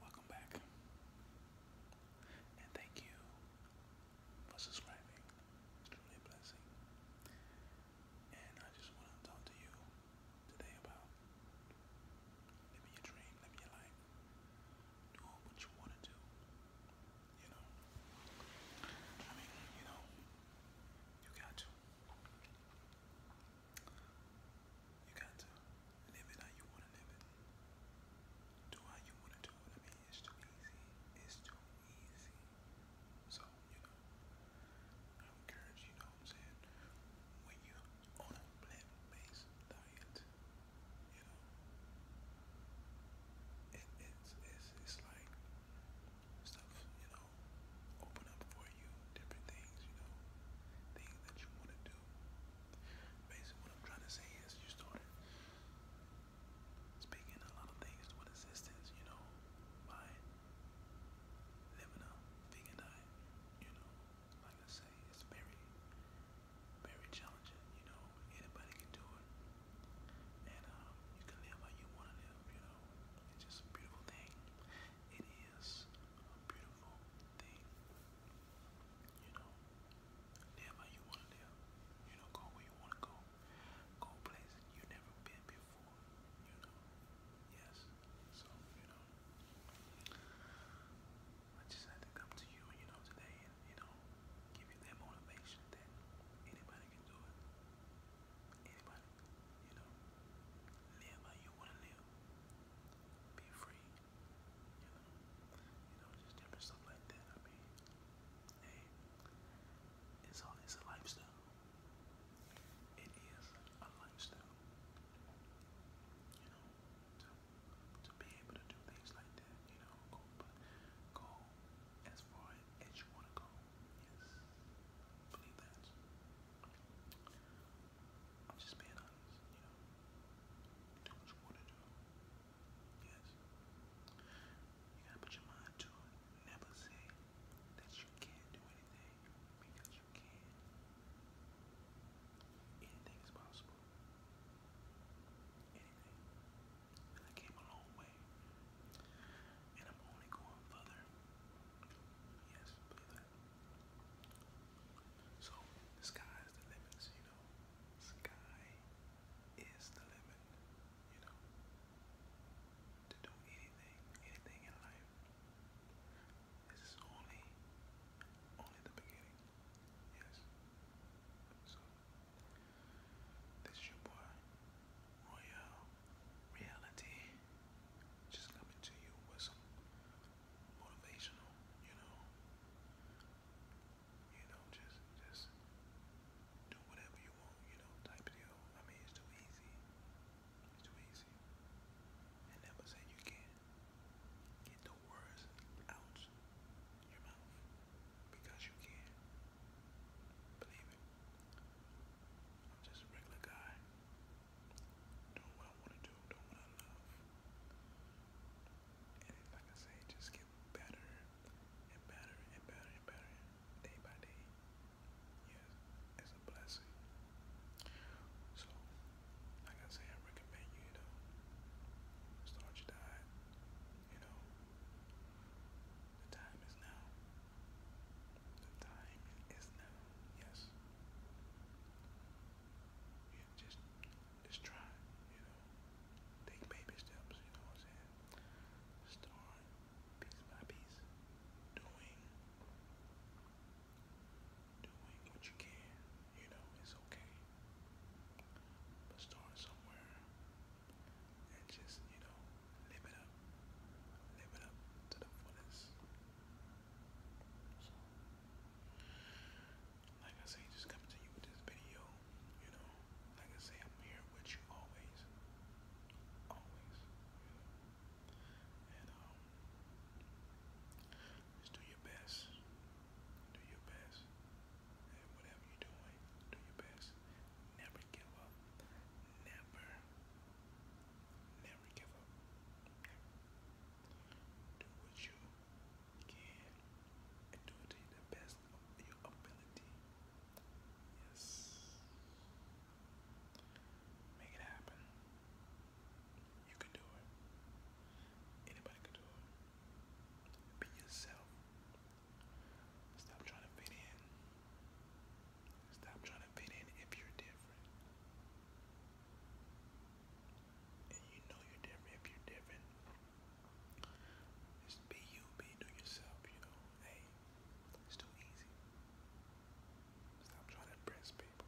Welcome back. And thank you for subscribing. It's truly a blessing. And I just want to talk to you today about living your dream, living your life, doing what you want to do. You know, I mean, you know, you got to you got to live it how you want to live it. Do how you want to do it. I mean, it's too easy. It's too easy. So, you know, I encourage you, know what I'm saying? When you on a plant based diet, you know, it's, it's, it's like stuff, you know, open up for you, different things, you know, things that you want to do. Basically, what I'm trying to say is you started speaking a lot of things to an you know, by living a vegan diet, you know, like I say, it's very, very challenging challenging, you know, anybody can do it. And um, you can live how you want to live, you know. It's just a beautiful thing. It is a beautiful thing. You know, live how you want to live. You know, go where you want to go. Go places you've never been before, you know. Yes. So, you know, I just had to come to you, you know, today you know, give you that motivation that anybody can do it. Anybody, you know, live how you want to live. Be free, you know, you know, just different stuff like that. I mean, hey, it's all it's a lifestyle. It is a lifestyle, you know to be able to do things like that, you know, go, go as far as you want to go. Yes, believe that. I'm just being honest, you know. Do what you to do. Yes. You gotta put your mind to it. Never say that you can't do anything because you can. Anything is possible anything. I came a long way. And I'm only going further. Yes, believe So the sky is the limit, you know. Sky is the limit, you know. To do anything, anything in life. This is only, only the beginning. Yes. So, this is your boy, Royal Reality, just coming to you with some motivational, you know, you know, just, just do whatever you want, you know, type deal. I mean, it's too easy. Tweezy. And that was You can't get the words out your mouth because you can Believe it. I'm just a regular guy doing what I want to do, doing what I love. And like I say, just get better and better and better and better day by day yes, it's a blessing. So, like I say, I recommend you, you know, start your diet. You know, the time is now. The time is now. Yes. You just, just try. You know, take baby steps. You know what I'm saying? Start piece by piece, doing, doing what you can. You know, it's okay. But start somewhere and just, you know, live it up. Live it up to the fullest. So, like I say, just coming to you with this video, you know, like I say, I'm here with you always. Always. Um, just do your best. Do your best. And whatever you're doing, do your best. Never give up. Never. Never give up. Do what you can do the best your ability. Yes. Make it happen. You can do it. Anybody can do it. Be yourself. Stop trying to fit in. Stop trying to fit in if you're different. And you know you're different. If you're different, just be you, be do yourself, you know. Hey, it's too easy. Stop trying to impress people.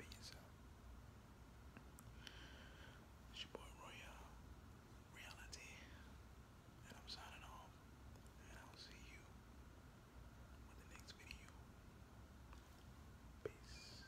Be yourself. It's your boy Royale Reality. And I'm signing off. And I'll see you with the next video. Peace.